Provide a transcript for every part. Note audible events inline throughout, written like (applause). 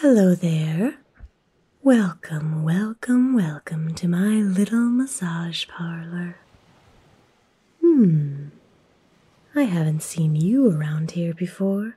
Hello there. Welcome, welcome, welcome to my little massage parlor. Hmm, I haven't seen you around here before.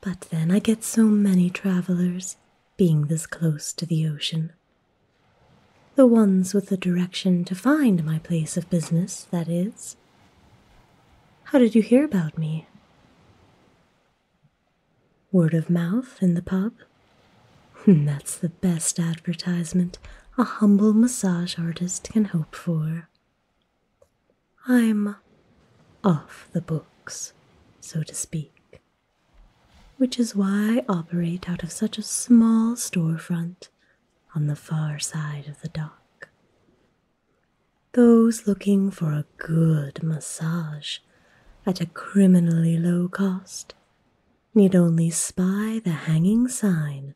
But then I get so many travelers being this close to the ocean. The ones with the direction to find my place of business, that is. How did you hear about me? Word of mouth in the pub? (laughs) That's the best advertisement a humble massage artist can hope for. I'm off the books, so to speak, which is why I operate out of such a small storefront on the far side of the dock. Those looking for a good massage at a criminally low cost need only spy the hanging sign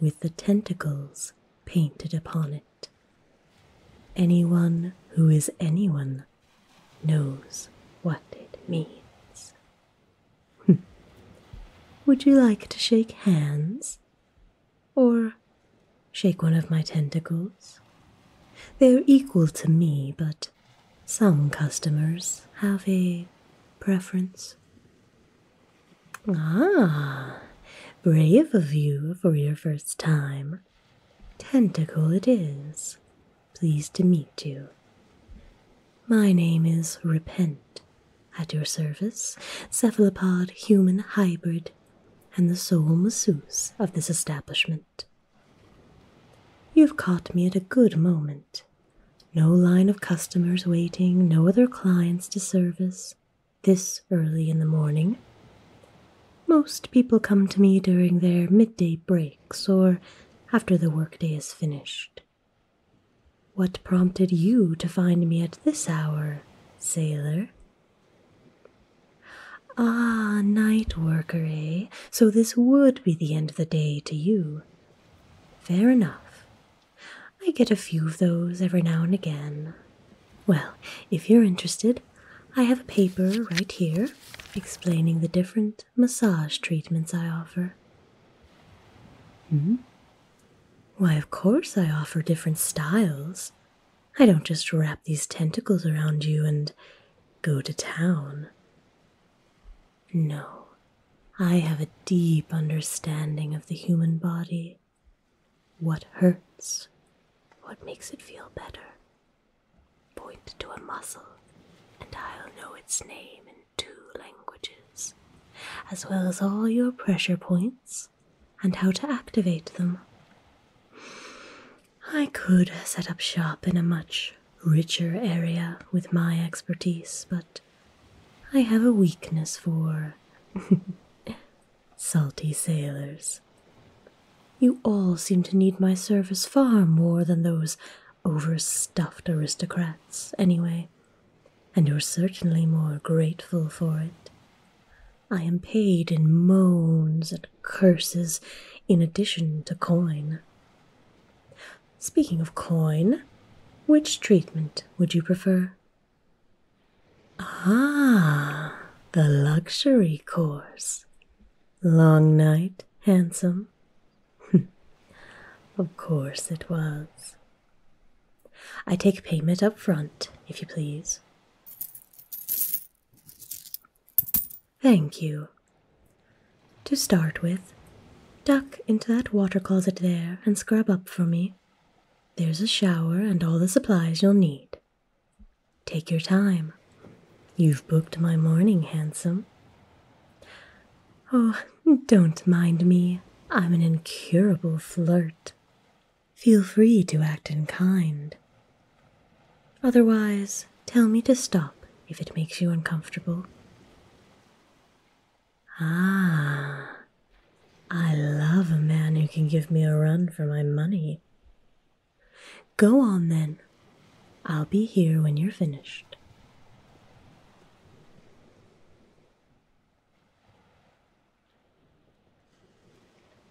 with the tentacles painted upon it. Anyone who is anyone knows what it means. (laughs) Would you like to shake hands? Or shake one of my tentacles? They're equal to me, but some customers have a preference. Ah, brave of you for your first time. Tentacle it is. Pleased to meet you. My name is Repent. At your service, cephalopod human hybrid, and the sole masseuse of this establishment. You've caught me at a good moment. No line of customers waiting, no other clients to service. This early in the morning. Most people come to me during their midday breaks or after the workday is finished. What prompted you to find me at this hour, sailor? Ah, night worker, eh? So this would be the end of the day to you. Fair enough. I get a few of those every now and again. Well, if you're interested, I have a paper right here explaining the different massage treatments I offer. Hmm? Why, of course, I offer different styles. I don't just wrap these tentacles around you and go to town. No, I have a deep understanding of the human body. What hurts? What makes it feel better? Point to a muscle, and I'll know its name in two languages, as well as all your pressure points and how to activate them. I could set up shop in a much richer area with my expertise, but I have a weakness for (laughs) salty sailors. You all seem to need my service far more than those overstuffed aristocrats, anyway, and you're certainly more grateful for it. I am paid in moans and curses in addition to coin. Speaking of coin, which treatment would you prefer? Ah, the luxury course. Long night, handsome. (laughs) of course it was. I take payment up front, if you please. Thank you. To start with, duck into that water closet there and scrub up for me. There's a shower and all the supplies you'll need. Take your time. You've booked my morning, handsome. Oh, don't mind me. I'm an incurable flirt. Feel free to act in kind. Otherwise, tell me to stop if it makes you uncomfortable. Ah, I love a man who can give me a run for my money. Go on then. I'll be here when you're finished.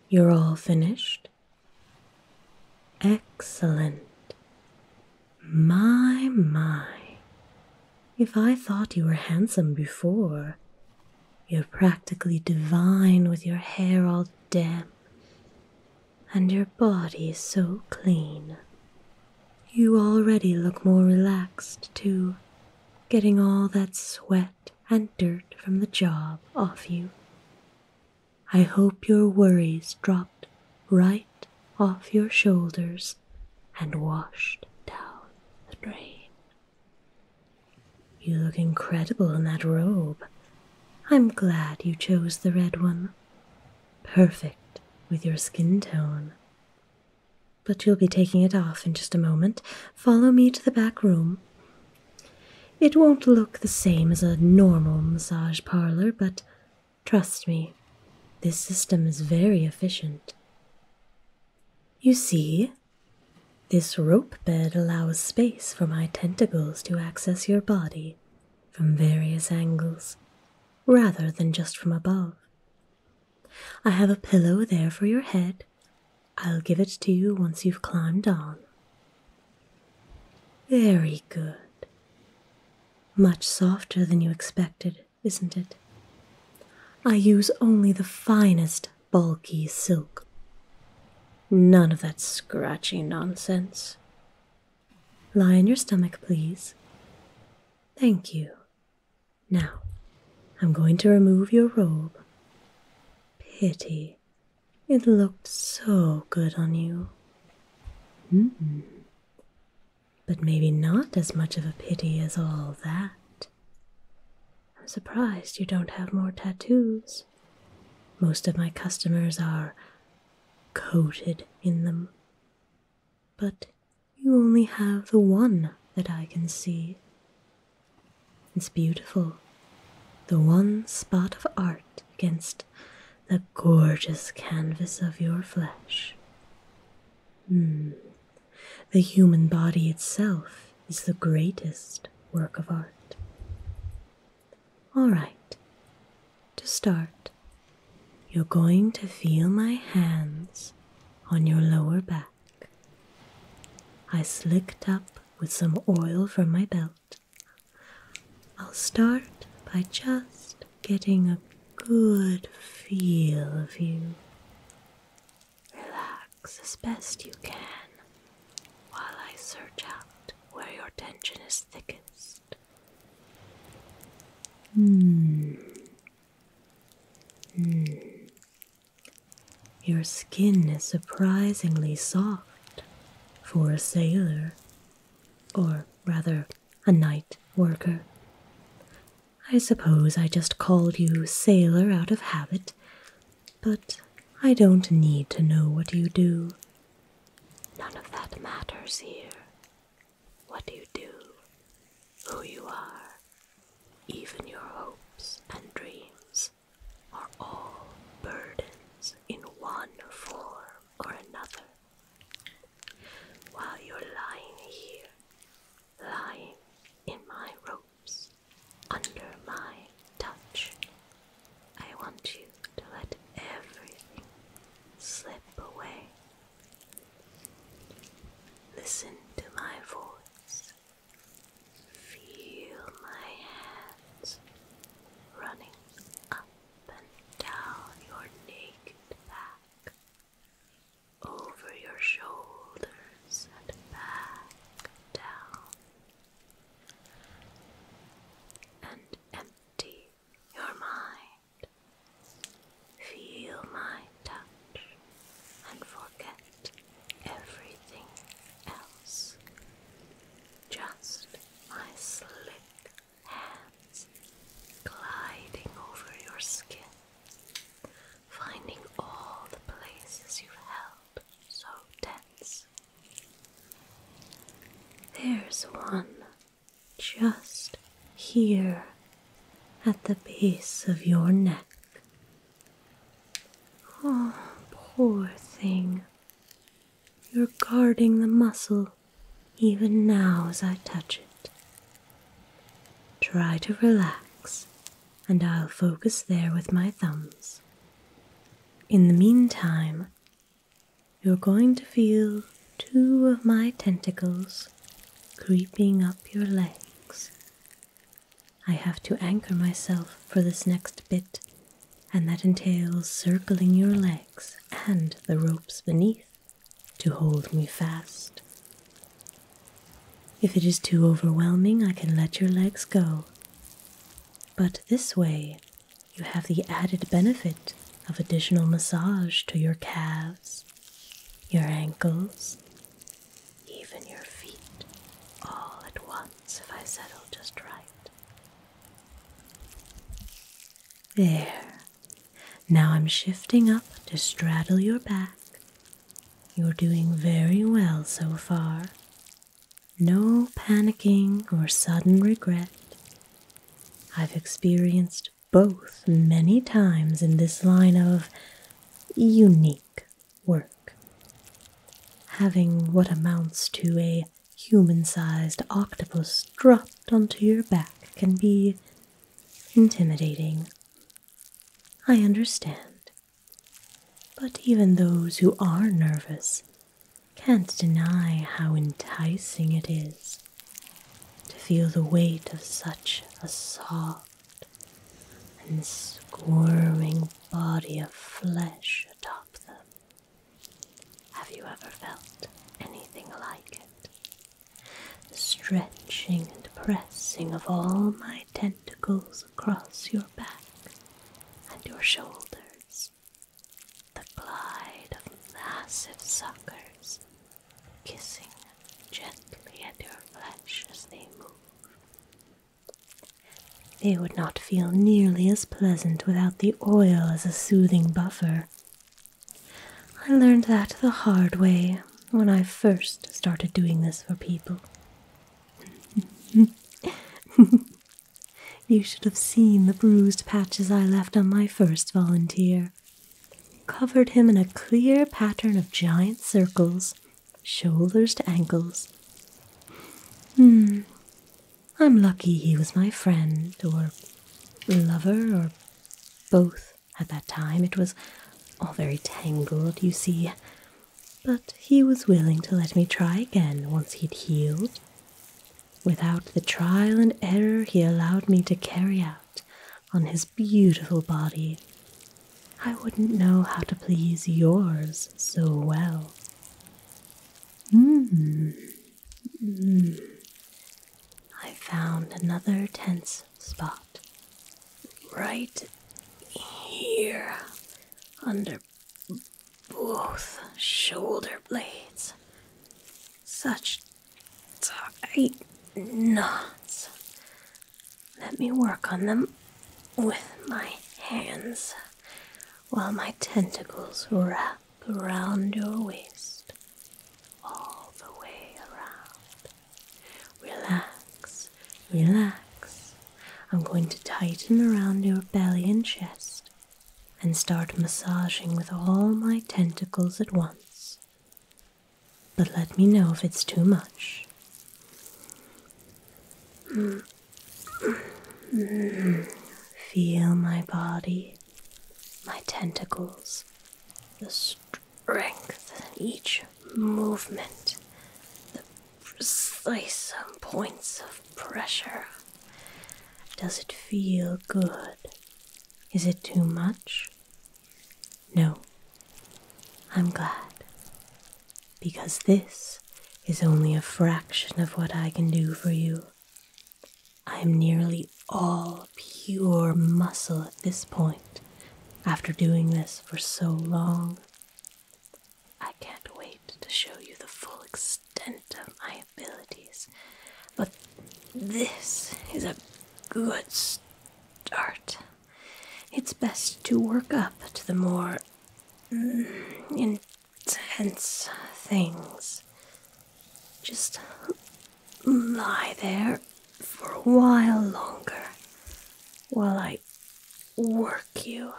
You're all finished? Excellent. My, my. If I thought you were handsome before, you're practically divine with your hair all damp and your body so clean. You already look more relaxed, too, getting all that sweat and dirt from the job off you. I hope your worries dropped right off your shoulders and washed down the drain. You look incredible in that robe. I'm glad you chose the red one. Perfect with your skin tone. But you'll be taking it off in just a moment. Follow me to the back room. It won't look the same as a normal massage parlor, but Trust me, this system is very efficient. You see, this rope bed allows space for my tentacles to access your body from various angles rather than just from above. I have a pillow there for your head. I'll give it to you once you've climbed on. Very good. Much softer than you expected isn't it? I use only the finest bulky silk. None of that scratchy nonsense. Lie on your stomach, please. Thank you. Now, I'm going to remove your robe. Pity. It looked so good on you. Mm but maybe not as much of a pity as all that. I'm surprised you don't have more tattoos. Most of my customers are coated in them. But you only have the one that I can see. It's beautiful. The one spot of art against the gorgeous canvas of your flesh. Hmm. The human body itself is the greatest work of art. All right, to start, you're going to feel my hands on your lower back. I slicked up with some oil from my belt. I'll start by just getting a good feel of you. Relax as best you can while I search out where your tension is thickest. Hmm. Hmm. Your skin is surprisingly soft for a sailor, or rather, a night worker. I suppose I just called you sailor out of habit, but I don't need to know what you do. None of that matters here. What you do, who you are, even your hopes and dreams are all burdens in one form or another while you're lying here, lying in my ropes, under my touch, I want you to let everything slip away. Listen to my voice. Feel my hands running up and down your naked back, over your shoulders and back down, and empty your mind. Feel my touch and forget everything else. Just my slick hands gliding over your skin, finding all the places you've held so tense. There's one just here at the base of your neck. Oh, poor thing. You're guarding the muscle even now as I touch it. Try to relax, and I'll focus there with my thumbs. In the meantime, you're going to feel two of my tentacles creeping up your legs. I have to anchor myself for this next bit, and that entails circling your legs and the ropes beneath to hold me fast. If it is too overwhelming, I can let your legs go. But this way, you have the added benefit of additional massage to your calves, your ankles, even your feet, all at once if I settle just right. There. Now I'm shifting up to straddle your back. You're doing very well so far. No panicking or sudden regret. I've experienced both many times in this line of unique work. Having what amounts to a human sized octopus dropped onto your back can be intimidating. I understand. But even those who are nervous can't deny how enticing it is to feel the weight of such a soft and squirming body of flesh atop them. Have you ever felt anything like it? The stretching and pressing of all my tentacles across your back and your shoulders, the glide of massive suckers kissing gently at your flesh as they move. They would not feel nearly as pleasant without the oil as a soothing buffer. I learned that the hard way when I first started doing this for people. (laughs) you should have seen the bruised patches I left on my first volunteer. Covered him in a clear pattern of giant circles, shoulders to ankles. Hmm. I'm lucky he was my friend or lover or both at that time. It was all very tangled, you see. But he was willing to let me try again once he'd healed. Without the trial and error he allowed me to carry out on his beautiful body, I wouldn't know how to please yours so well. Mm. I found another tense spot. Right here, under both shoulder blades. Such tight knots. Let me work on them with my hands while my tentacles wrap around your waist, all the way around. Relax, relax. I'm going to tighten around your belly and chest and start massaging with all my tentacles at once. But let me know if it's too much. Feel my body, my tentacles, the strength in each movement, the precise points of pressure. Does it feel good? Is it too much? No. I'm glad. Because this is only a fraction of what I can do for you. I'm nearly all pure muscle at this point after doing this for so long. I can't wait to show you the full extent of my abilities, but this is a good start. It's best to work up to the more mm, tense things. Just lie there for a while longer while I work you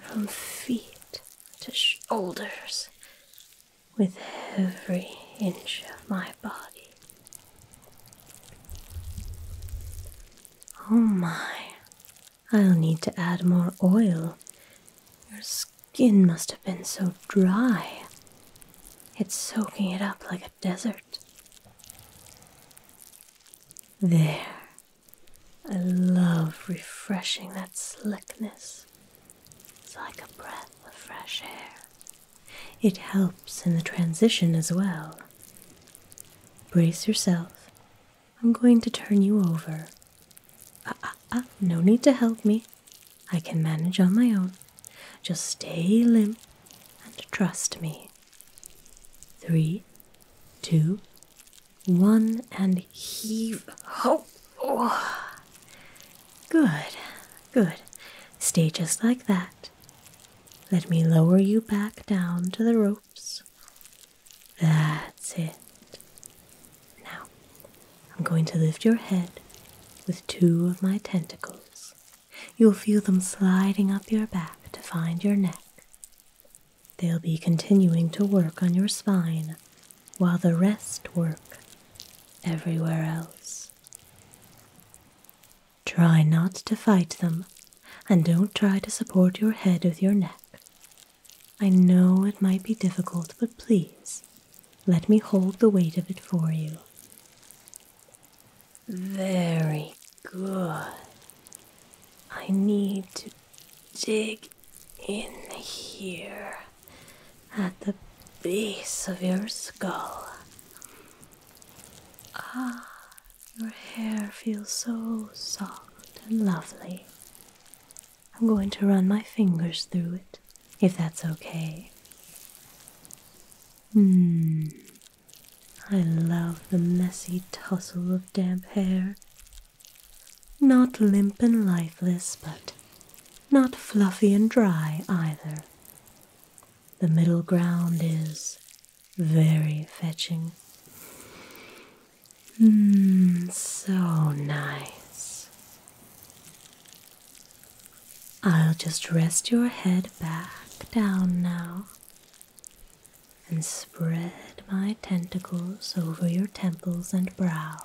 from feet to shoulders with every inch of my body. Oh my, I'll need to add more oil. Your skin must have been so dry. It's soaking it up like a desert. There. I love refreshing that slickness. It's like a breath of fresh air. It helps in the transition as well. Brace yourself I'm going to turn you over. Ah, ah, ah, no need to help me. I can manage on my own. Just stay limp and trust me. Three, two, one, and heave. Oh, oh. Good, good. Stay just like that. Let me lower you back down to the ropes. That's it. Now, I'm going to lift your head with two of my tentacles. You'll feel them sliding up your back to find your neck. They'll be continuing to work on your spine while the rest work everywhere else. Try not to fight them and don't try to support your head with your neck. I know it might be difficult, but please let me hold the weight of it for you. Very good. I need to dig in here at the base of your skull. Ah, your hair feels so soft and lovely. I'm going to run my fingers through it, if that's okay. Hmm. I love the messy tousle of damp hair. Not limp and lifeless, but not fluffy and dry either. The middle ground is very fetching. Mm, so nice. I'll just rest your head back down now and spread my tentacles over your temples and brow.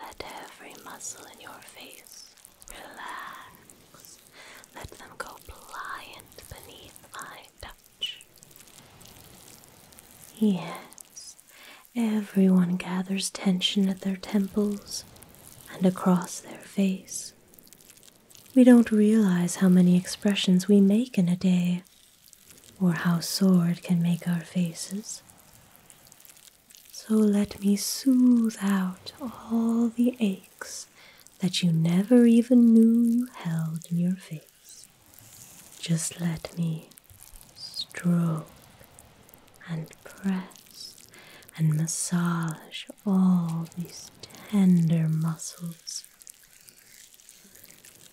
Let every muscle in your face relax. Let them go pliant beneath my touch. Yes, everyone gathers tension at their temples and across their face. We don't realize how many expressions we make in a day, or how sore it can make our faces. So let me soothe out all the aches that you never even knew you held in your face. Just let me stroke and press and massage all these tender muscles.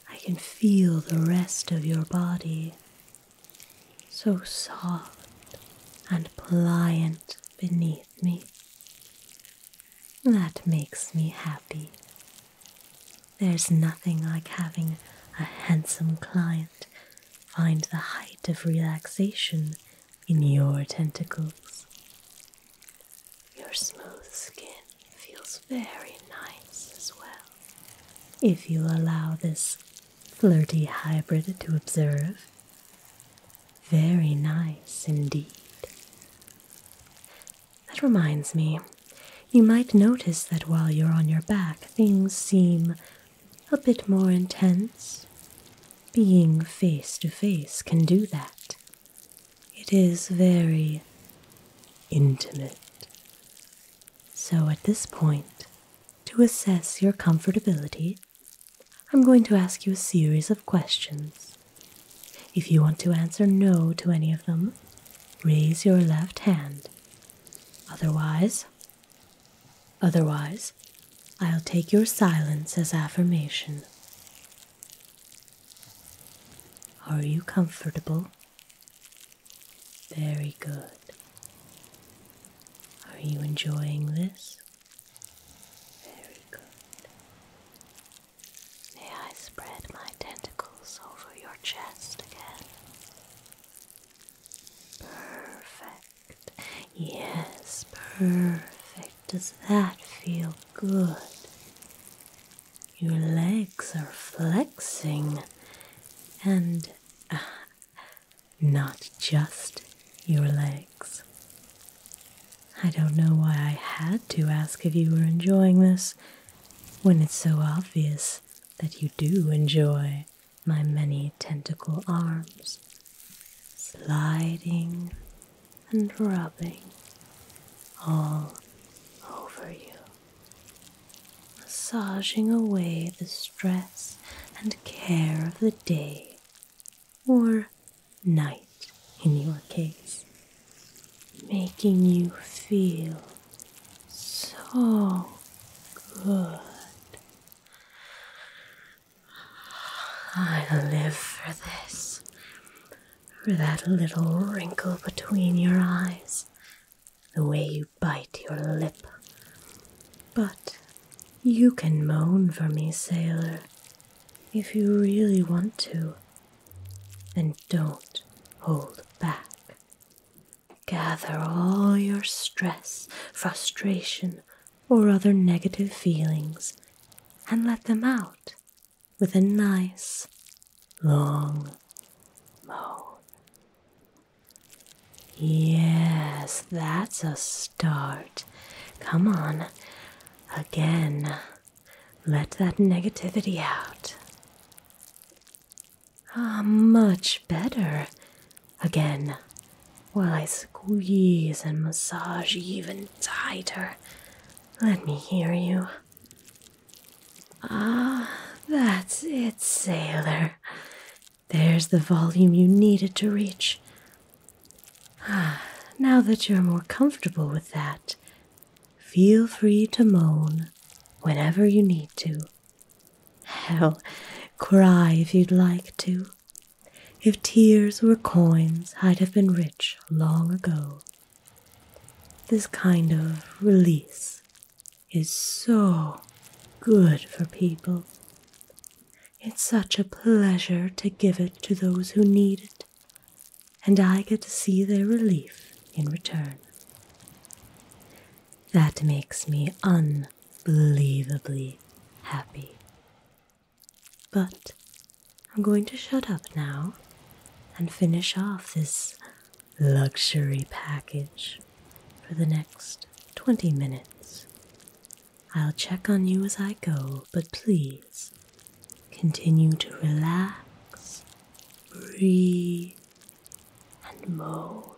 I can feel the rest of your body so soft and pliant beneath me. That makes me happy. There's nothing like having a handsome client find the height of relaxation in your tentacles. Your smooth skin feels very nice as well. If you allow this flirty hybrid to observe, very nice indeed. That reminds me, you might notice that while you're on your back, things seem a bit more intense. Being face to face can do that. It is very intimate. So at this point, to assess your comfortability, I'm going to ask you a series of questions. If you want to answer no to any of them, raise your left hand. Otherwise, otherwise, I'll take your silence as affirmation. Are you comfortable? Very good. Are you enjoying this? Very good. May I spread my tentacles over your chest again? Perfect. Yes, perfect. Does that feel good? Your legs are flexing and uh, not just your legs. I don't know why I had to ask if you were enjoying this when it's so obvious that you do enjoy my many tentacle arms sliding and rubbing all over you, massaging away the stress and care of the day or night in your case, making you feel so good. I live for this, for that little wrinkle between your eyes, the way you bite your lip. But you can moan for me, sailor, if you really want to and don't hold back. Gather all your stress, frustration, or other negative feelings and let them out with a nice long moan. Yes, that's a start. Come on, again. Let that negativity out. Ah, much better. Again, while I squeeze and massage even tighter, let me hear you. Ah, that's it, sailor. There's the volume you needed to reach. Ah, now that you're more comfortable with that, Feel free to moan whenever you need to. Hell, cry if you'd like to. If tears were coins, I'd have been rich long ago. This kind of release is so good for people. It's such a pleasure to give it to those who need it and I get to see their relief in return. That makes me unbelievably happy. But I'm going to shut up now and finish off this luxury package for the next 20 minutes. I'll check on you as I go, but please Continue to relax, breathe, and moan.